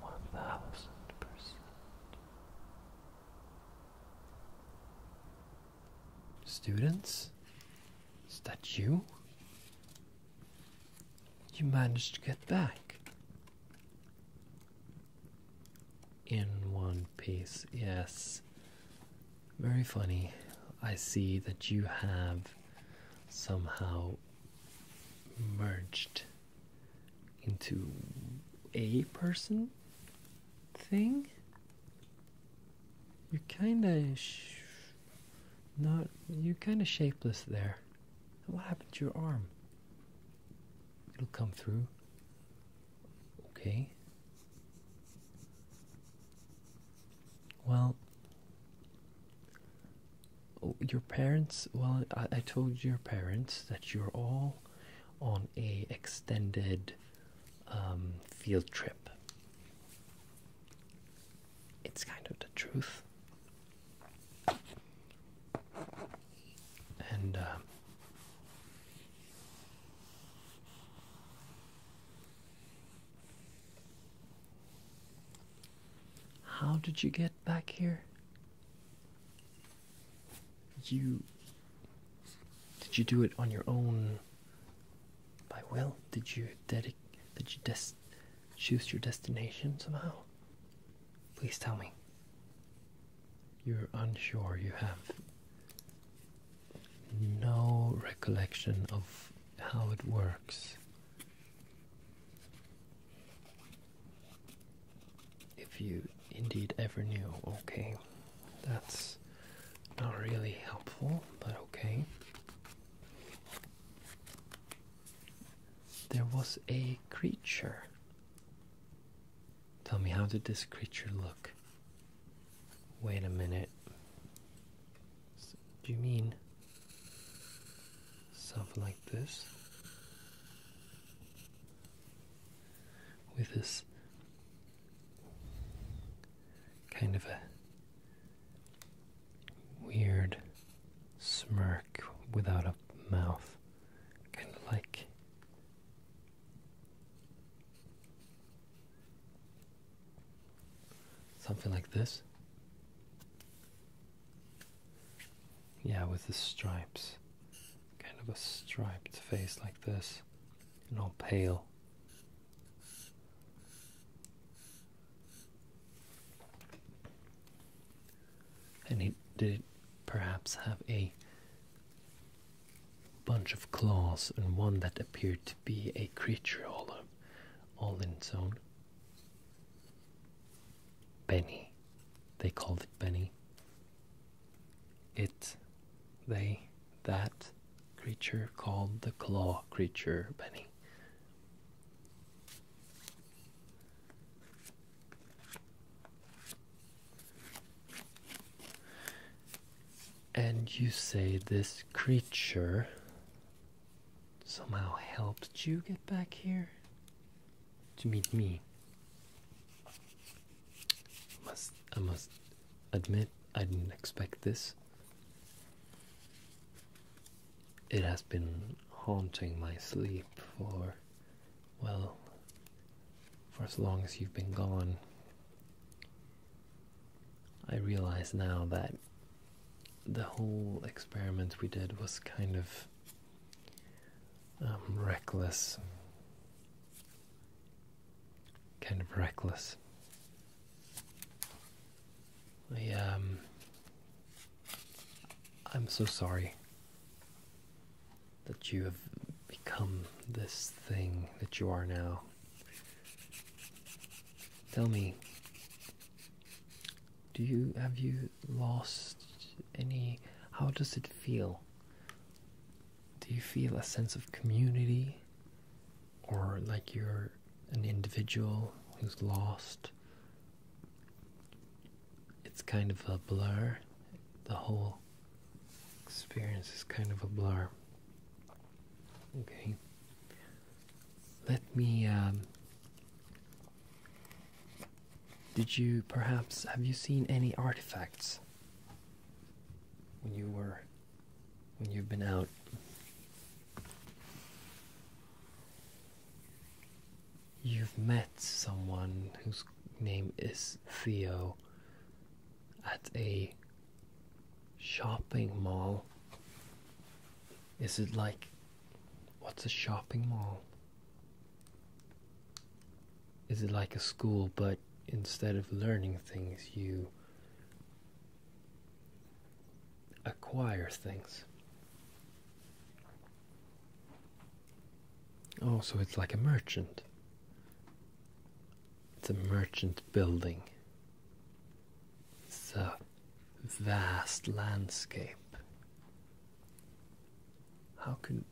One thousand percent. Students? Is that you? You managed to get back. In one piece, yes. Very funny. I see that you have somehow merged into a person thing. You're kind of not. You're kind of shapeless there. What happened to your arm? It'll come through. Okay. Well, your parents well I, I told your parents that you're all on a extended um, field trip it's kind of the truth and uh, how did you get back here? You did you do it on your own by will? Did you did you choose your destination somehow? Please tell me. You're unsure. You have no recollection of how it works if you indeed ever knew, okay. That's not really helpful, but okay. There was a creature. Tell me, how did this creature look? Wait a minute. Do you mean something like this with this kind of a weird smirk without a mouth, kind of like. Something like this. Yeah, with the stripes. Kind of a striped face like this, and all pale. And he did perhaps have a bunch of claws and one that appeared to be a creature all, in its own. Benny. They called it Benny. It, they, that creature called the claw creature Benny. And you say this creature somehow helped you get back here? to meet me. Must I must admit I didn't expect this. It has been haunting my sleep for well for as long as you've been gone. I realize now that the whole experiment we did was kind of um, reckless, kind of reckless. I, um, I'm so sorry that you have become this thing that you are now. Tell me, do you have you lost any? How does it feel? Do you feel a sense of community? Or like you're an individual who's lost? It's kind of a blur. The whole experience is kind of a blur. Okay. Let me um, did you perhaps have you seen any artifacts when you were when you've been out? You've met someone whose name is Theo at a shopping mall. Is it like what's a shopping mall? Is it like a school, but instead of learning things, you acquire things? Oh, so it's like a merchant. It's a merchant building. It's a vast landscape how can,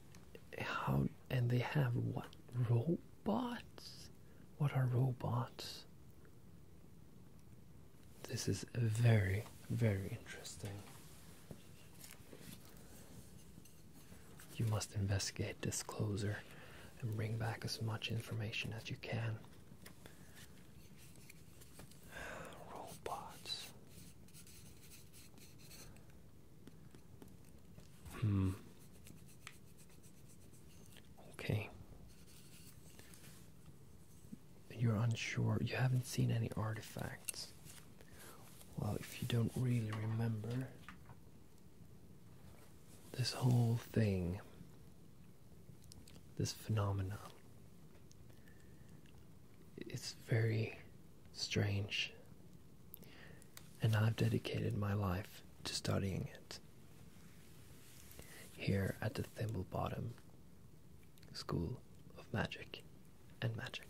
how and they have what robots? What are robots? This is very, very interesting. You must investigate disclosure and bring back as much information as you can. Robots. Hmm. Okay. You're unsure. You haven't seen any artifacts. Well, if you don't really remember, this whole thing, this phenomenon, it's very strange. And I've dedicated my life to studying it. Here at the Thimble Bottom School of Magic and Magic.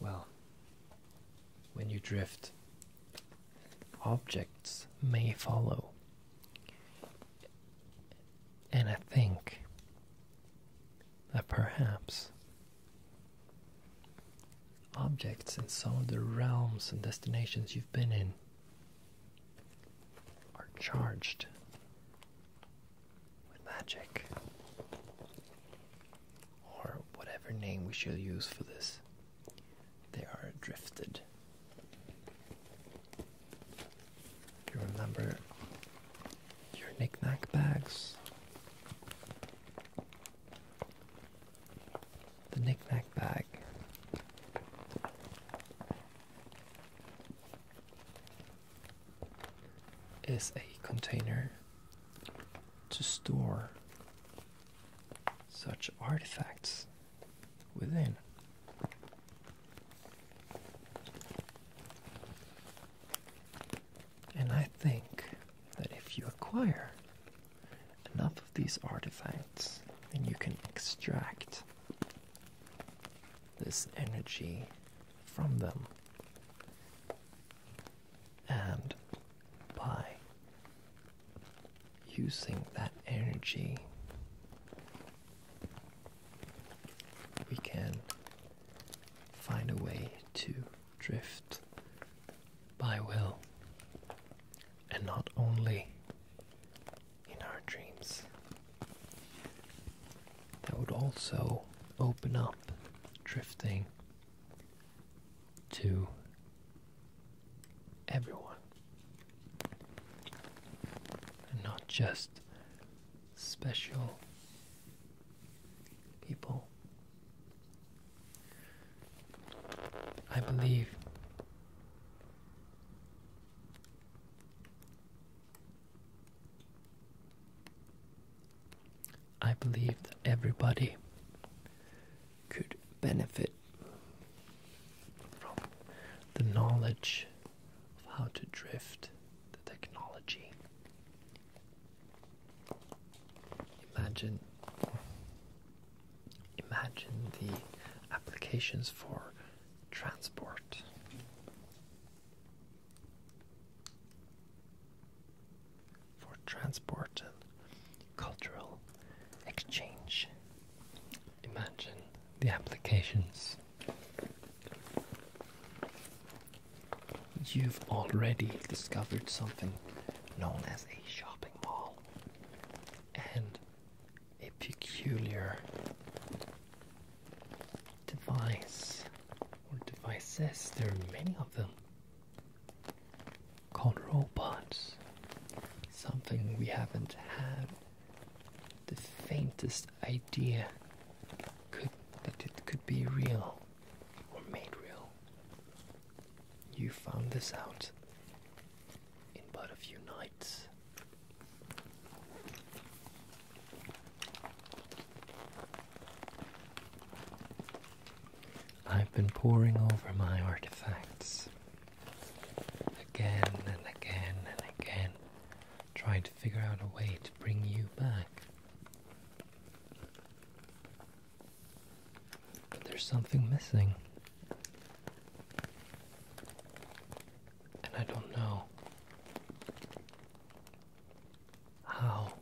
Well, when you drift, objects may follow. And I think that perhaps objects in some of the realms and destinations you've been in are charged with magic, or whatever name we shall use for this, they are drifted. You remember your knickknack bags? The knickknack bag. Is a container to store such artifacts within. And I think that if you acquire enough of these artifacts, then you can extract this energy from them and by using that energy, we can find a way to drift by will and not only in our dreams. That would also open up drifting to everyone. And not just special people. I believe I believe that everybody could benefit from the knowledge of how to drift the technology. Imagine imagine the applications for transport for transport and cultural exchange. Imagine the applications. You've already discovered something known as a shopping mall and a peculiar device or devices, there are many of them called robots. Something we haven't had the faintest idea could, that it could be real or made real. You found this out in but a few nights. I've been poring over my artifacts again and again and again, trying to figure out a way to bring you back. But there's something missing. And I don't know how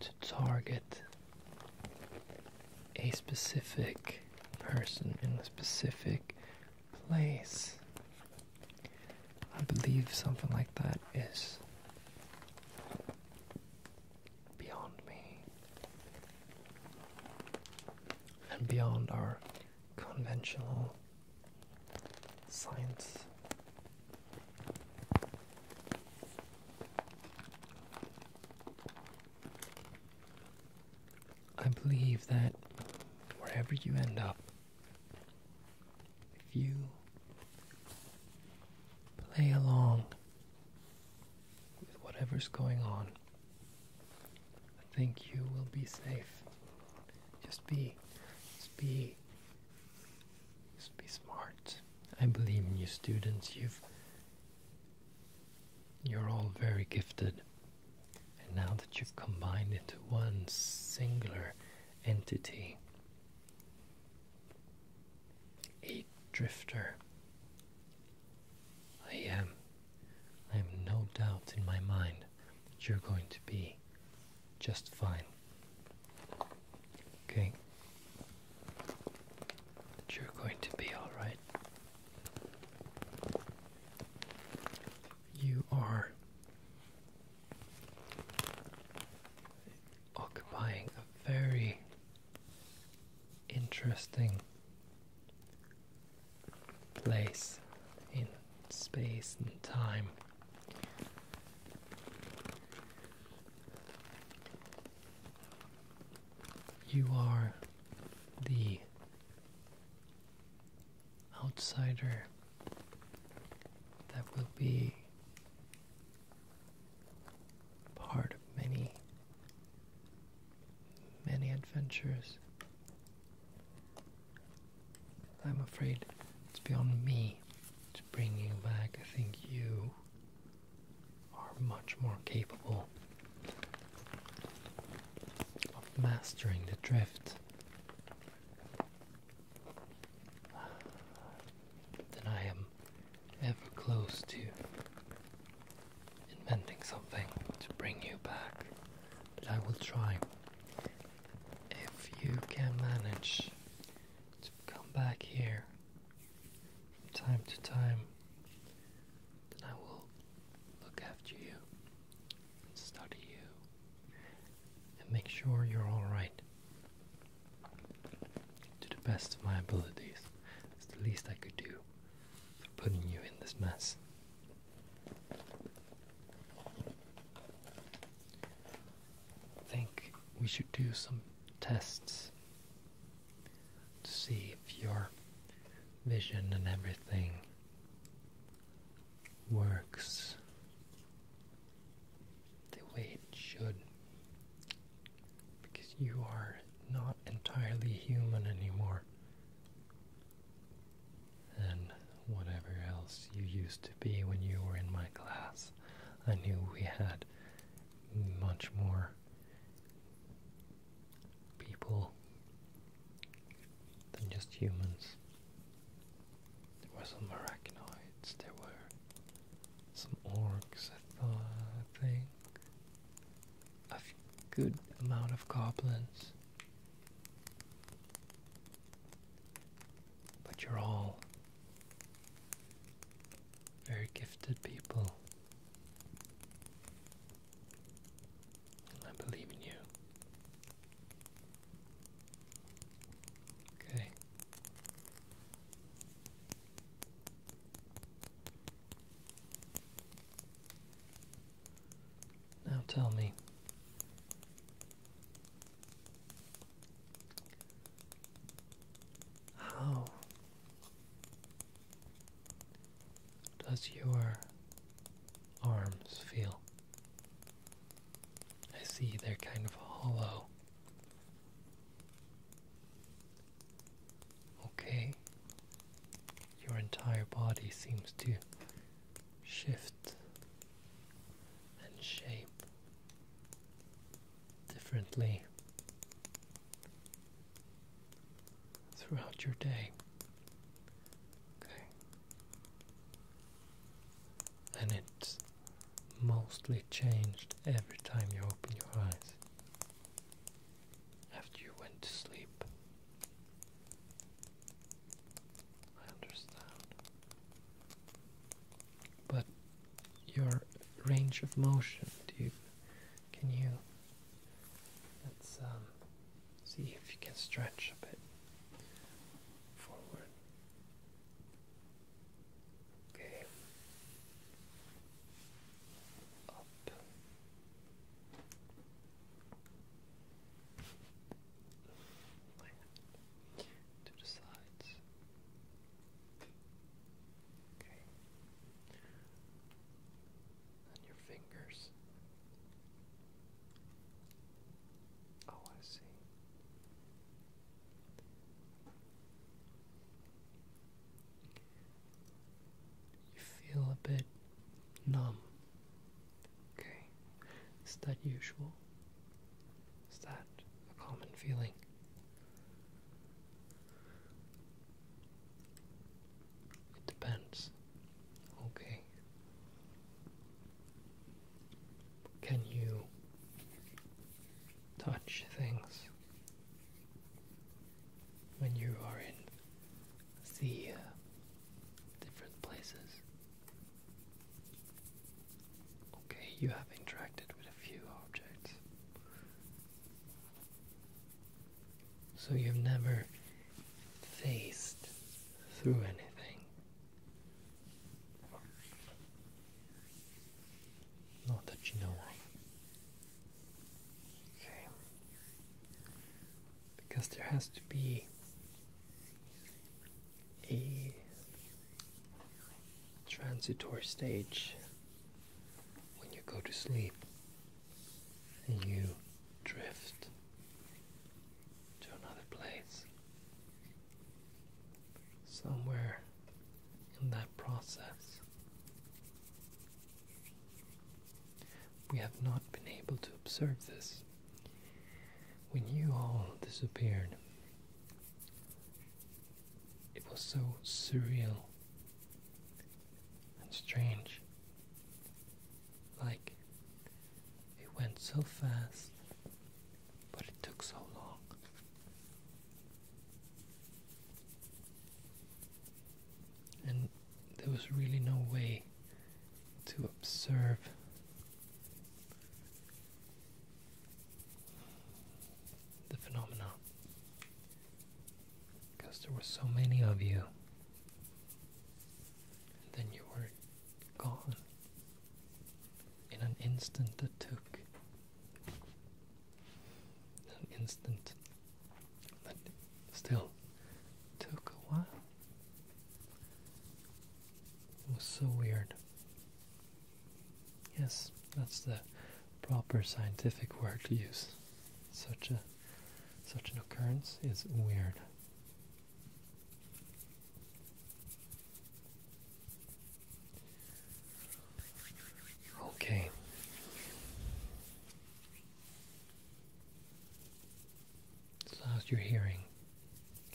to target a specific person in a specific place. I believe something like that is beyond me and beyond our conventional science I believe that wherever you end up, if you play along with whatever's going on, I think you will be safe. Just be, just be just be smart. I believe in you students. You've you're all very gifted. And now that you've combined into one singular entity, a drifter, I am. I have no doubt in my mind that you're going to be just fine. Okay, you're going to be all right. You are occupying a very interesting place in space and time. You are the outsider that will be part of many, many adventures. I'm afraid it's beyond me bringing back, I think you are much more capable of mastering the drift than I am ever close to inventing something to bring you back. But I will try. If you can manage to come back here from time to time, then I will look after you and study you and make sure you're alright to the best of my abilities. It's the least I could do for putting you in this mess think we should do some tests to see if your vision and everything works the way it should because you are not entirely human anymore and whatever else you used to be when you were in my class I knew we had much more people than just humans. There were some arachnoids, there were some orcs, I thought, I think. A good amount of goblins. But you're all very gifted people. I believe in you. Okay. Now tell me, how does your arms feel? I see they're kind of hollow. Okay, your entire body seems to shift and shape differently throughout your day. Okay. And it's mostly changed every time you open your eyes after you went to sleep. I understand. But your range of motion, do you, can you, let's um, see if you can stretch a bit forward. Okay. Up. To the sides. Okay. your fingers. Oh, I see. You feel a bit numb. Okay. Is that usual? Is that a common feeling? It depends. Okay. Can you touch things when you are in the uh, different places? Okay, you have interacted with a few objects. So you've never faced through anything. Not that you know of. Okay. Because there has to be a transitory stage when you go to sleep and you drift to another place. Somewhere in that process, we have not been able to observe this. When you all disappeared, it was so surreal and strange. Like it went so fast, but it took so long. And there was really no way to observe the phenomenon, because there were so many of you and then you were gone in an instant that took an instant that still took a while it was so weird Yes, that's the proper scientific word to use. Such a such an occurrence is weird. Okay. So how's your hearing?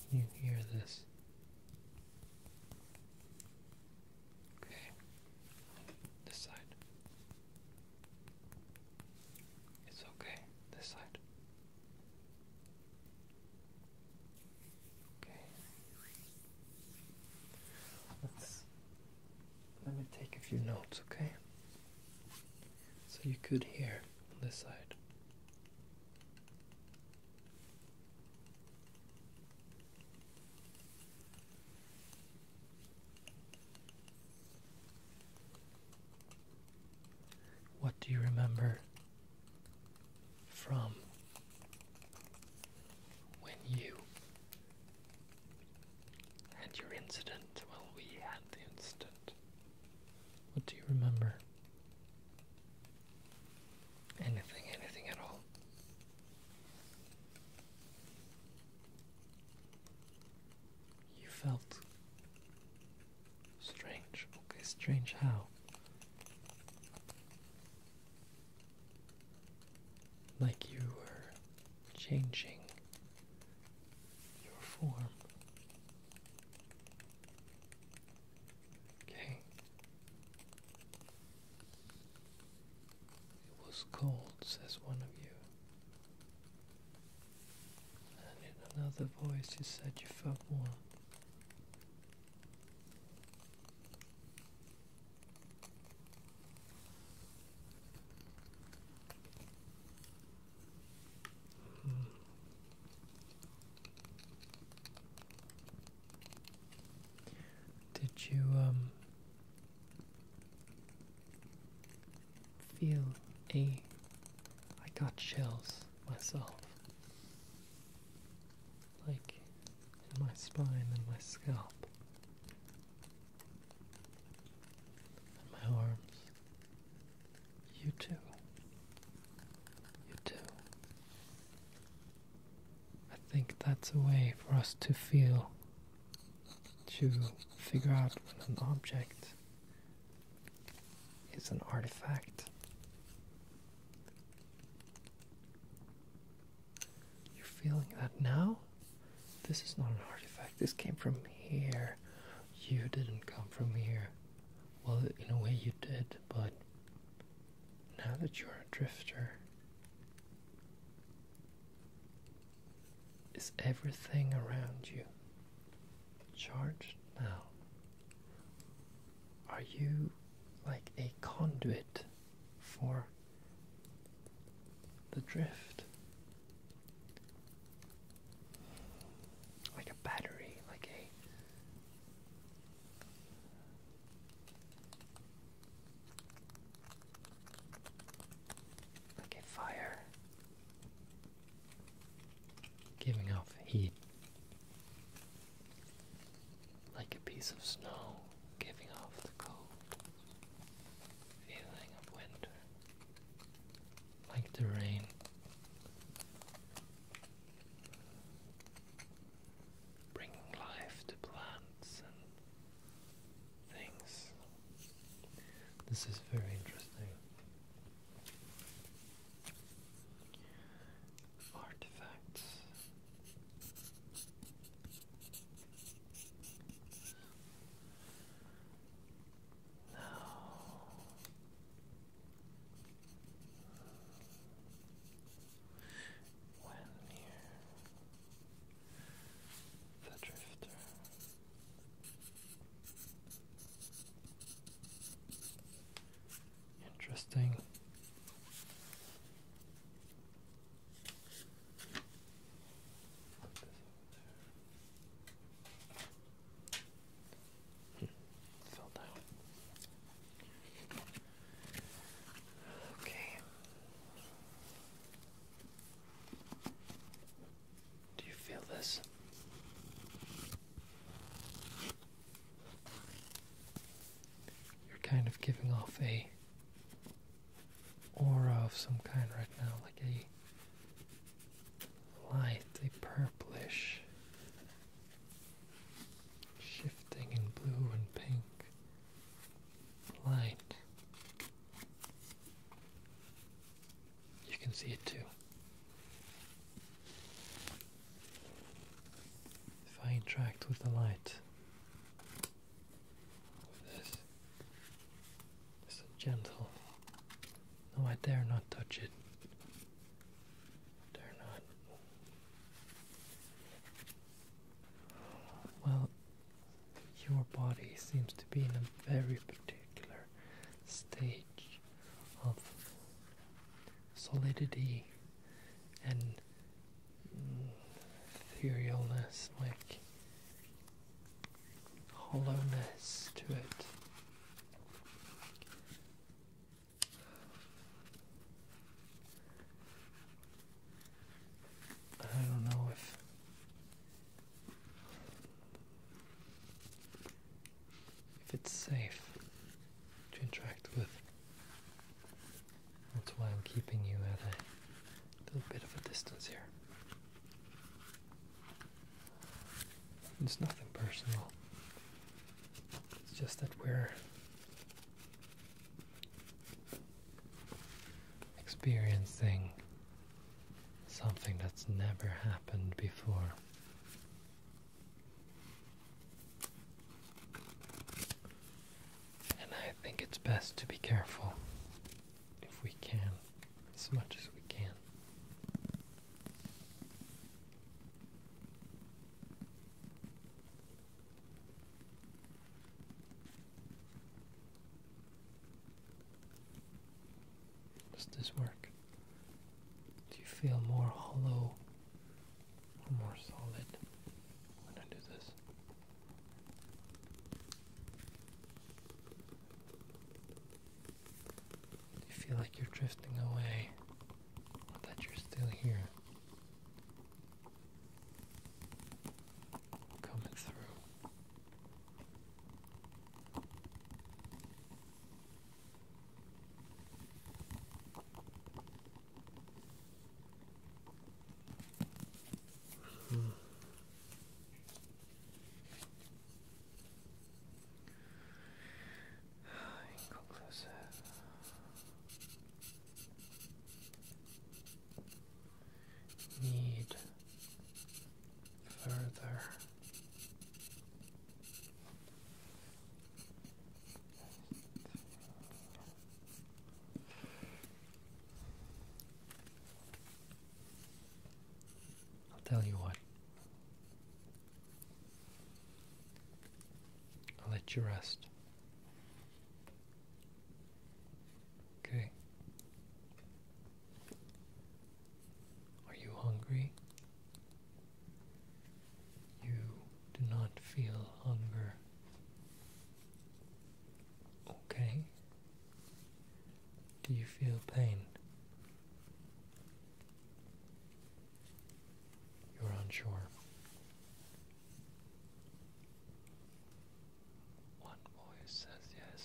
Can you hear this? Okay. This side. It's okay. This side. Okay. Let's let me take a few notes, okay? So you could hear on this side. What do you remember from when you had your incident? Well, we had the incident. What do you remember? Anything, anything at all? You felt strange. Okay, strange how? Like you were changing your form. Okay, it was cold, says one of you. And in another voice you said you felt warm. Hmm. Did you um feel a I got chills myself. Like in my spine and my scalp. And my arms. You too. You too. I think that's a way for us to feel, to figure out when an object is an artifact. You're feeling that now? This is not an artifact. This came from here. You didn't come from here. Well, in a way you did, but now that you are a drifter, is everything around you charged now? Are you like a conduit for the drift? Like a battery, like a like a fire giving off heat, like a piece of snow giving off the cold feeling of winter, like the rain bringing life to plants and things. This is very interesting. Artifacts. Now, when near the drifter. Interesting. Hmm. Fell down. Okay. Do you feel this? You're kind of giving off a aura of some kind right now, like a light, a purplish, shifting in blue and pink light. You can see it too. If I interact with the light, this, it's a gentle. No, I dare not touch it. dare not. Well, your body seems to be in a very particular stage of solidity and mm, etherealness, like hollowness to it. I don't know if if it's safe to interact with. That's why I'm keeping you at a little bit of a distance here. It's nothing personal. It's just that we're experiencing something that's never happened before. And I think it's best to be careful if we can, as much as we can. Does this work? Do you feel more hollow or more solid when I do this? Do you feel like you're drifting away or that you're still here? coming through. Mm -hmm. Inconclusive need further I'll tell you what. I'll let you rest. Okay. Are you hungry? You do not feel hunger. Okay. Do you feel pain? You're unsure. One voice says yes,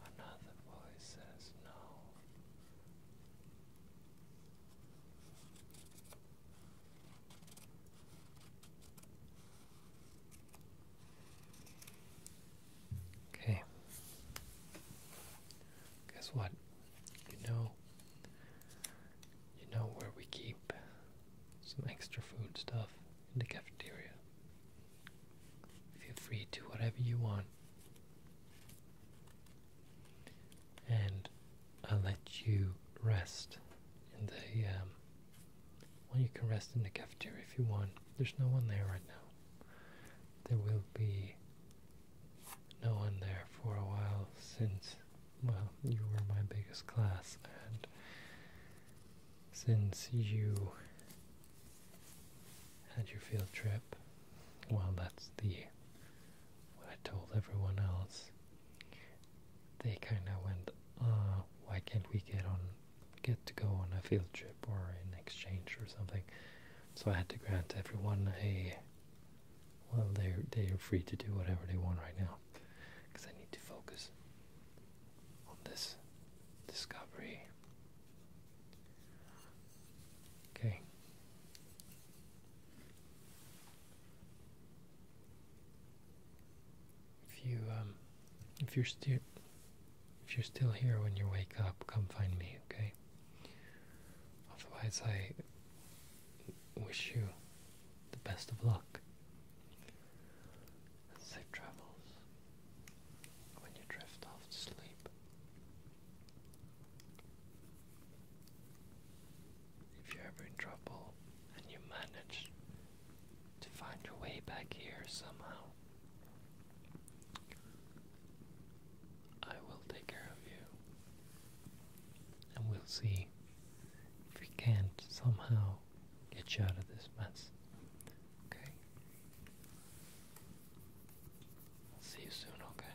another voice says no. Okay. Guess what? You you know where we keep some extra food stuff in the cafeteria. Feel free to whatever you want. And I'll let you rest in the um, well you can rest in the cafeteria if you want. There's no one there right now. There will be no one there for a while since well, you were my biggest class, and since you had your field trip, well, that's the what I told everyone else. They kind of went, uh, why can't we get on, get to go on a field trip or an exchange or something? So I had to grant everyone a. Well, they they are free to do whatever they want right now because I need to focus on this discovery. Okay. If you um, if you're still if you're still here when you wake up, come find me, okay? Otherwise, I wish you the best of luck and safe travels when you drift off to sleep. If you're ever in trouble and you manage to find your way back here somehow, I will take care of you. And we'll see if we can't somehow get you out of this mess. Okay? I'll see you soon, okay?